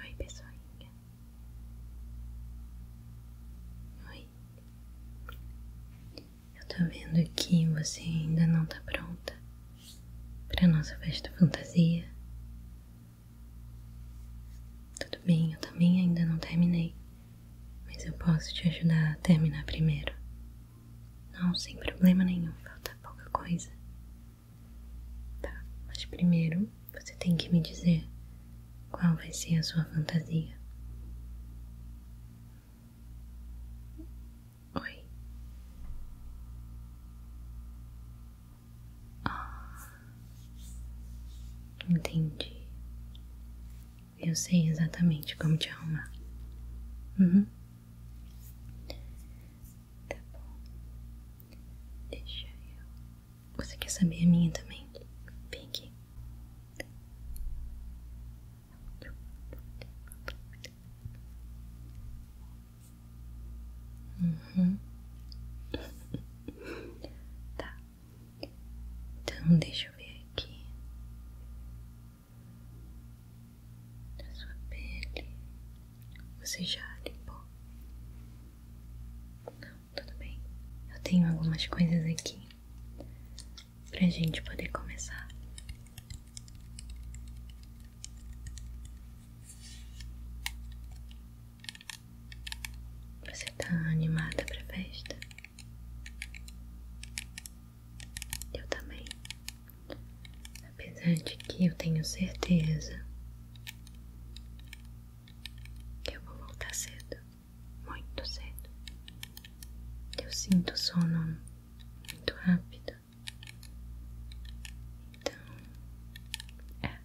Oi, pessoinha. Oi. Eu tô vendo que você ainda não tá pronta pra nossa festa fantasia. Tudo bem, eu também ainda não terminei, mas eu posso te ajudar a terminar primeiro. Não, sem problema nenhum, falta pouca coisa. Tá, mas primeiro você tem que me dizer qual vai ser a sua fantasia. Oi. Ah, entendi. Eu sei exatamente como te arrumar. Uhum. Tá bom. Deixa eu. Você quer saber a minha também? Vem aqui tá. Então deixa eu ver aqui. A sua pele. Você já limpou? Não, tudo bem. Eu tenho algumas coisas aqui pra gente poder começar. Você tá animada pra festa? Eu também. Apesar de que eu tenho certeza que eu vou voltar cedo, muito cedo. Eu sinto sono muito rápido. Então, é,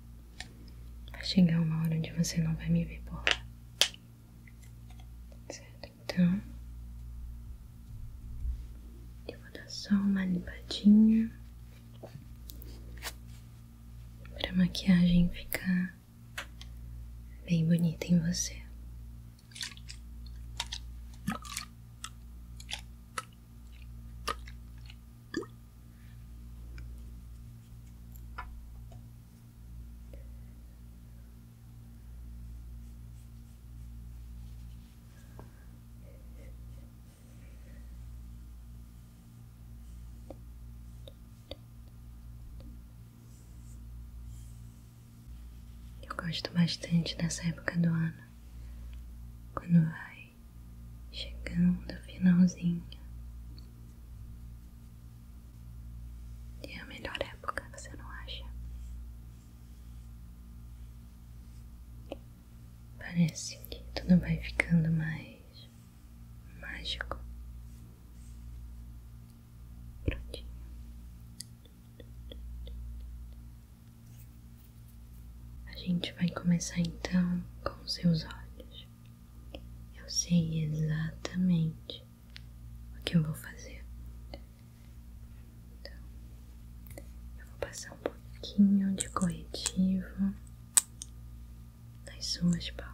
Vai chegar uma hora onde você não vai me ver por lá. Certo? Então, eu vou dar só uma limpadinha para a maquiagem ficar bem bonita em você. Eu gosto bastante dessa época do ano, quando vai chegando ao finalzinho. E é a melhor época, você não acha? Parece que tudo vai ficando mais mágico. Prontinho. A gente vai começar então com seus olhos. Eu sei exatamente o que eu vou fazer. Então, eu vou passar um pouquinho de corretivo nas suas pálpebras.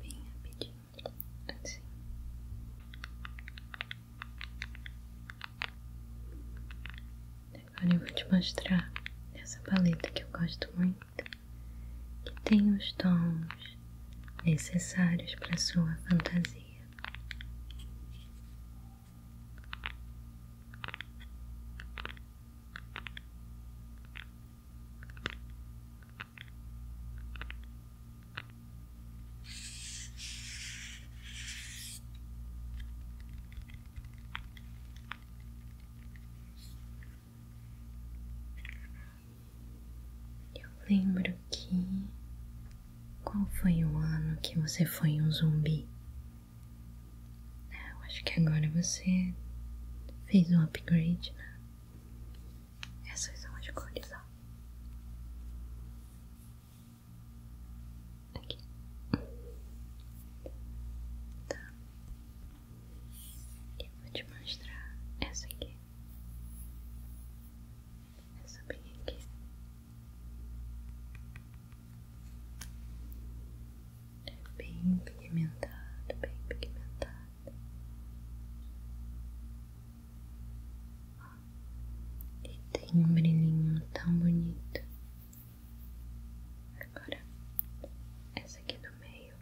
Bem rapidinho, assim. Agora eu vou te mostrar essa paleta que eu gosto muito, que tem os tons necessários para sua fantasia. Eu lembro que. Qual foi o ano que você foi um zumbi? Eu acho que agora você fez um upgrade, né? Essas são as cores, ó. Aqui. Tá. Eu vou te mostrar essa aqui. Essa bem aqui. É bem pigmentado, bem pigmentado. E tem um brilhinho tão bonito. Agora, essa aqui do meio.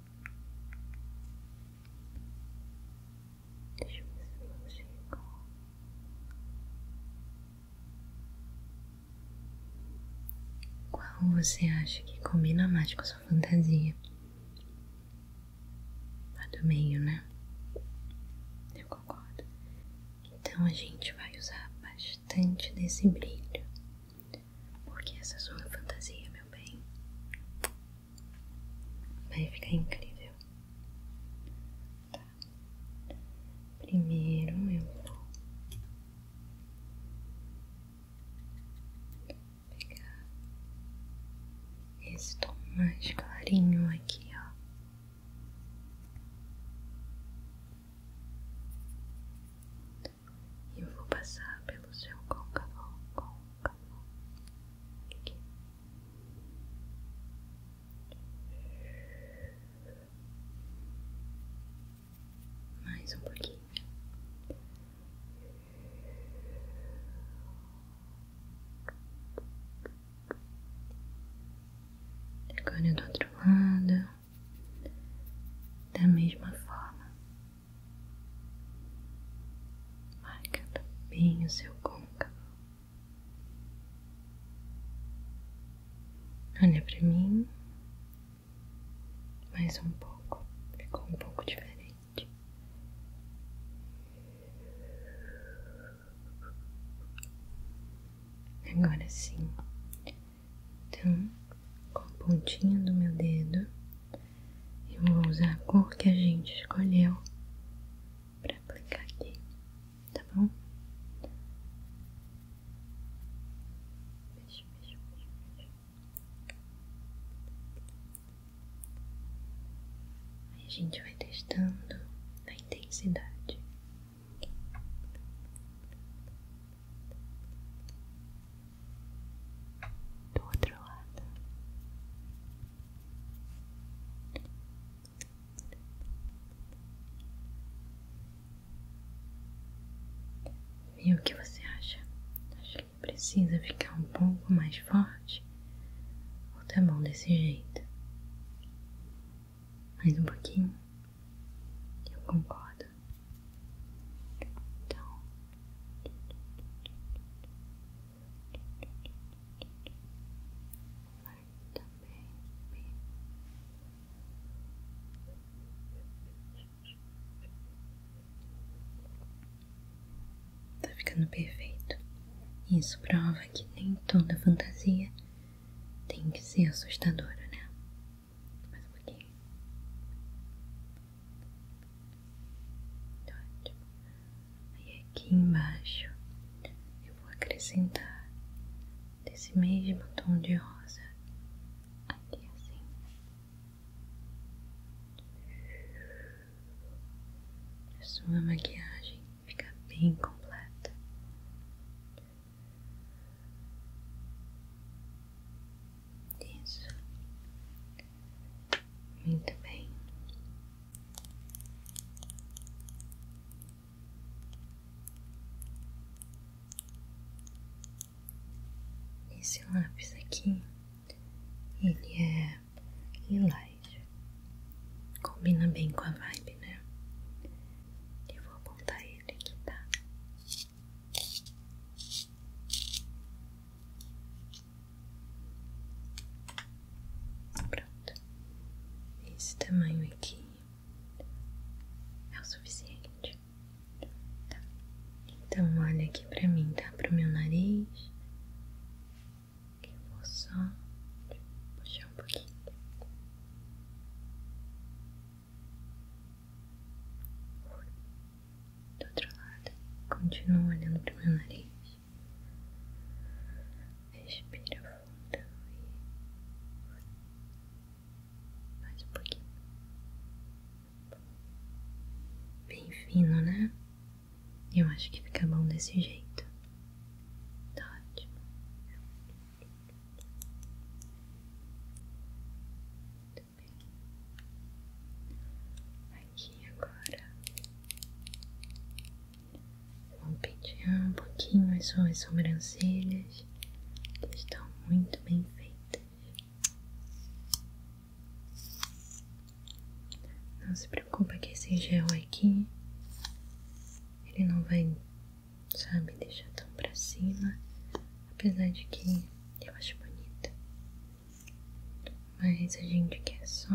Deixa eu ver se eu consigo. Qual você acha que combina mais com sua fantasia? A do meio, né? Eu concordo. Então a gente vai usar bastante desse brilho. Porque essa sua fantasia, meu bem, vai ficar incrível. Primeiro eu vou pegar esse tom mais carinho aqui, ó. E vou passar pelo seu côncavo, côncavo, aqui. Mais um pouquinho. Agora do outro lado, da mesma forma, marca bem o seu côncavo. Olha para mim. Mais um pouco. Ficou um pouco diferente. Agora sim. Então, com a pontinha do meu dedo, eu vou usar a cor que a gente escolheu para aplicar aqui, tá bom? Fecha, fecha, fecha, fecha. Aí a gente vai testando a intensidade. do outro lado e o que você acha? Acha que precisa ficar um pouco mais forte? Ou tá bom desse jeito? Mais um pouquinho? Eu concordo. Então, Marta, baby. Tá ficando perfeito. Isso prova que nem toda fantasia tem que ser assustadora, né? Mais um pouquinho. Tá ótimo e aqui embaixo eu vou acrescentar desse mesmo tom de rosa aqui assim a sua maquiagem fica bem completa isso muito bem esse lápis aqui, ele é lilás, combina bem com a vibe, né? Eu vou apontar ele aqui, tá? Pronto. Esse tamanho aqui é o suficiente. Tá. Então olha aqui pra mim, tá? Pro meu nariz. Que eu vou só puxar um pouquinho. Do outro lado, continuo olhando pro meu nariz. Respira fundo e mais um pouquinho. Bem fino, né? Eu acho que fica bom desse jeito. Tá ótimo. Muito bem. Aqui agora Vou pentear um pouquinho as suas sobrancelhas, que estão muito bem feitas. Não se preocupa que esse gel aqui, ele não vai, sabe, deixar tão pra cima, apesar de que eu acho bonita. Mas a gente quer só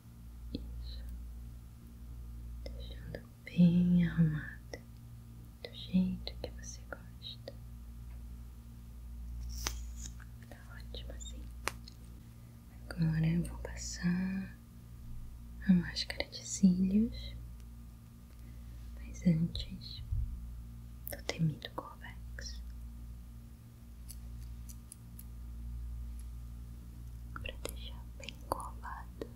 Isso. Deixando bem arrumada, do jeito que você gosta. Tá ótimo assim. Agora eu vou passar a máscara de cílios. Mas antes do temido Corvex para deixar bem colado.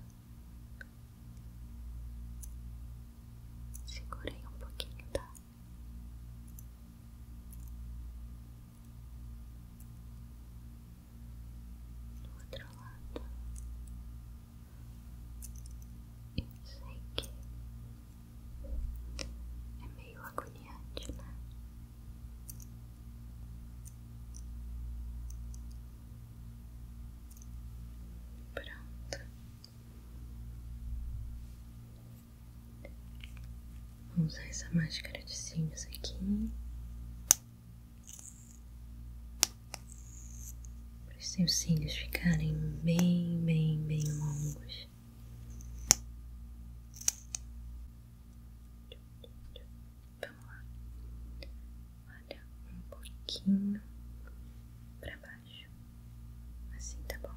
Segurei um pouquinho, tá? Do outro lado, eu sei que é meio agoniante, né? Pronto. Vamos usar essa máscara de cílios aqui. Para os seus cílios ficarem bem, bem, bem longos. Vamos lá. Olha um pouquinho para baixo. Assim tá bom.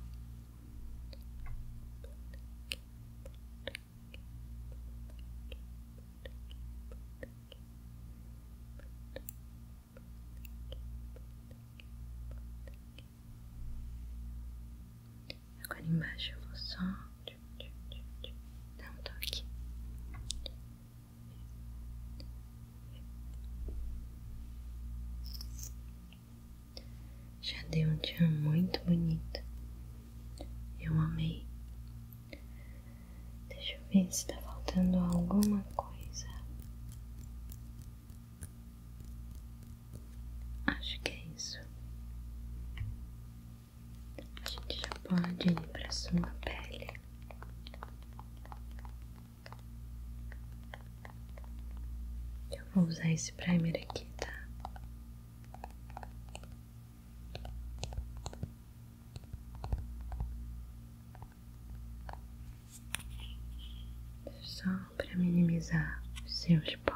Agora embaixo eu vou só dar um toque. Já deu um dia muito bonito. Eu amei. Deixa eu ver se está faltando alguma coisa. Acho que é isso a gente já pode ir para sua pele. Eu vou usar esse primer aqui, tá? Só para minimizar os seus poros.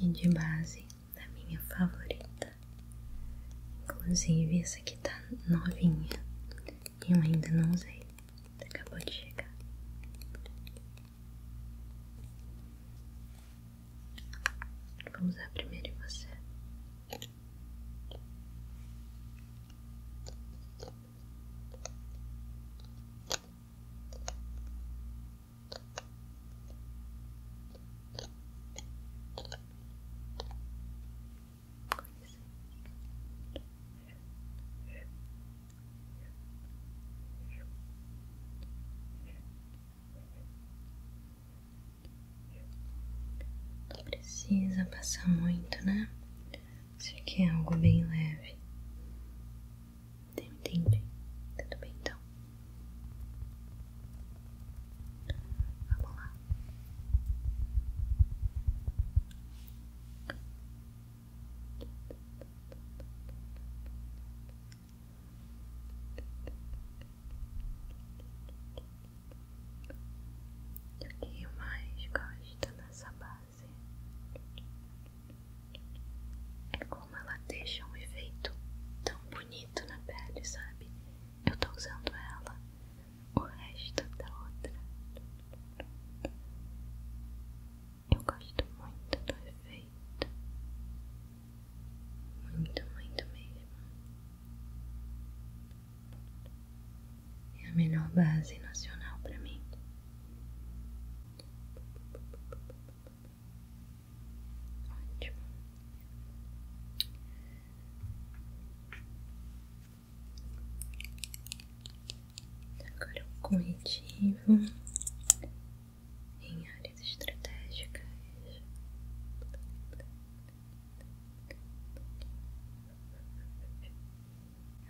e de base da minha favorita. Inclusive, essa aqui tá novinha e eu ainda não usei, acabou de chegar. Vamos usar primeiro você. Não precisa passar muito, né? Isso aqui é algo bem leve. entende? Tudo bem então. Vamos lá. O que mais gosta dessa base? é como ela deixa um efeito tão bonito na pele, sabe? Eu tô usando ela, o resto da outra. Eu gosto muito do efeito, muito, muito mesmo é a melhor base nacional para mim. Ótimo. Agora o corretivo em áreas estratégicas.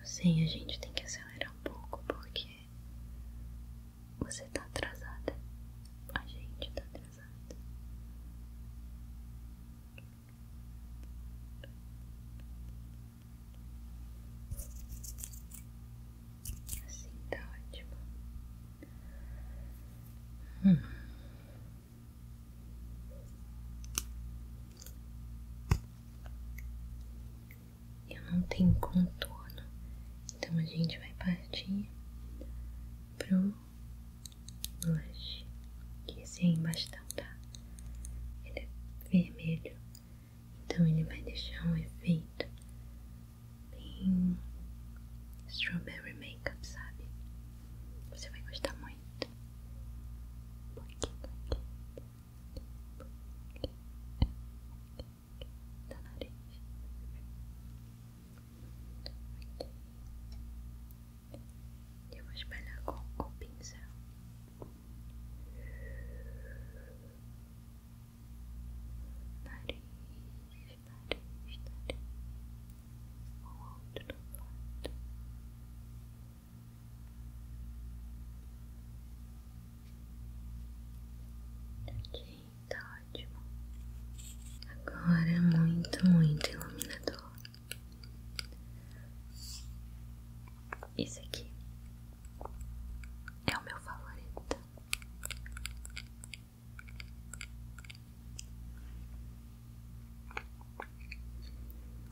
Eu sei, a gente tem que acelerar um pouco porque você tá atrasada. A gente tá atrasada. Assim tá ótimo. Hum. Eu não tenho contorno, então a gente vai partir pro blush, que esse aí é embaixo tá, Ele é vermelho, então ele vai deixar um efeito bem strawberry makeup, sabe? Você vai gostar muito. Um pouquinho aqui. da nariz. E eu vou espalhar com Ok, tá ótimo. Agora é muito, muito iluminador. Isso aqui é o meu favorito.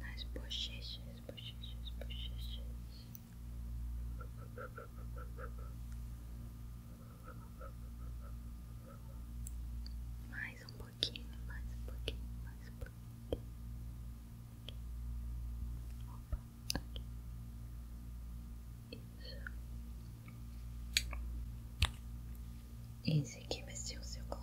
nas bochechas, bochechas, bochechas. Mais um pouquinho, mais um pouquinho, mais um pouquinho. Opa, aqui. Esse aqui vai ser o seu gloss.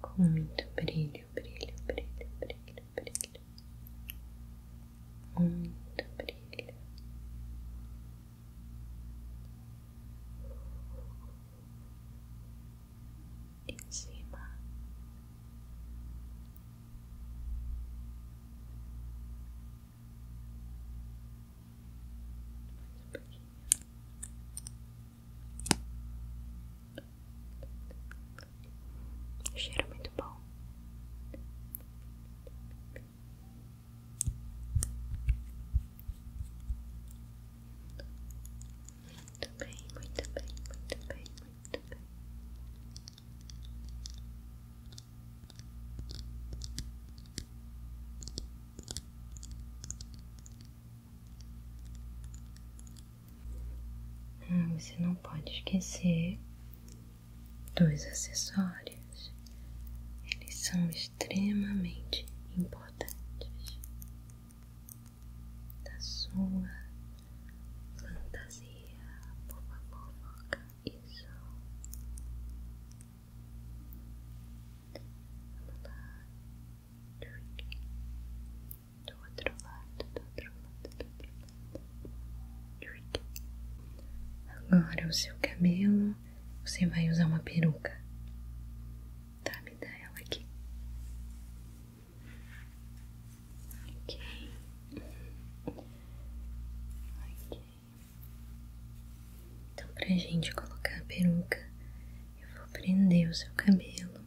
Com muito brilho, brilho, brilho, brilho, brilho muito brilho. Em cima mais um pouquinho. O cheiro muito bom. Muito bem, muito bem, muito bem, muito bem. Ah, você não pode esquecer dois acessórios, eles são extremamente importantes da sua fantasia. Por favor, foca Vamos lá. Do outro lado, do outro lado, do outro lado. Agora o seu cabelo, você vai usar uma peruca. Tá, me dá ela aqui. Ok. Ok. Então pra gente colocar a peruca, eu vou prender o seu cabelo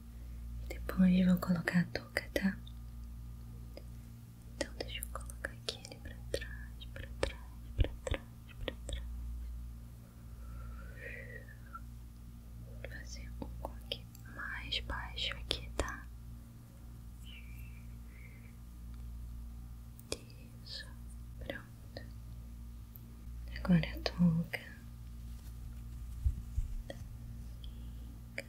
e depois eu vou colocar a touca, tá? Então deixa eu colocar aqui ele pra trás, pra trás, pra trás, pra trás. Vou fazer um coque mais baixo aqui, tá? Isso, pronto. Agora a touca. Aqui,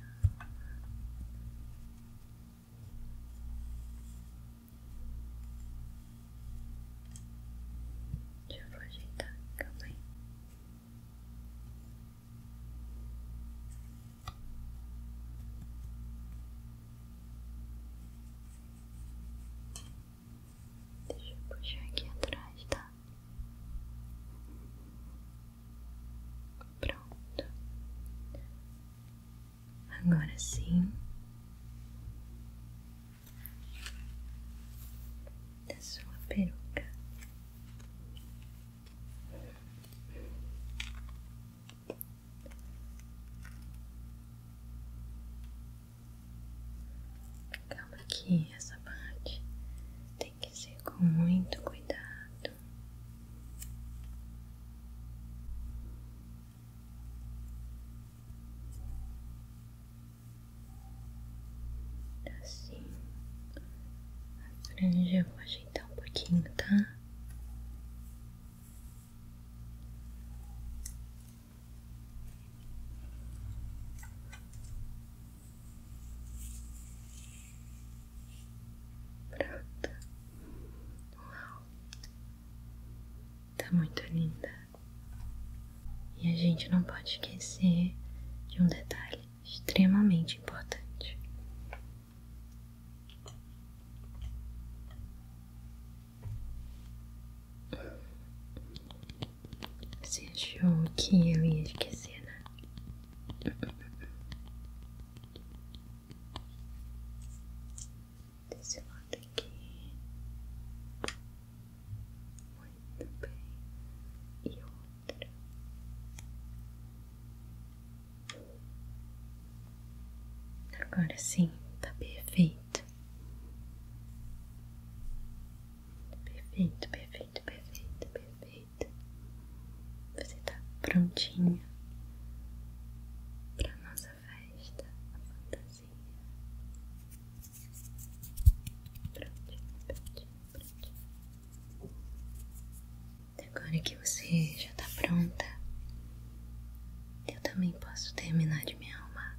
deixa eu ajeitar, calma aí. Deixa eu puxar aqui atrás, tá? Pronto. Agora sim. Da sua peruca. Calma aqui, essa parte que ser com muito cuidado. Tá assim, a franja eu vou ajeitar um pouquinho, tá? Pronto. Uau. Tá muito linda. E a gente não pode esquecer de um detalhe extremamente importante. Você achou que eu ia esquecer, né? Desse lado aqui. Muito bem. E outra. Agora sim, tá perfeito. Perfeito, perfeito, perfeito, perfeito. Você tá prontinha pra nossa festa, fantasia. Prontinha, prontinha, prontinha. Agora que você já tá pronta, eu também posso terminar de me arrumar.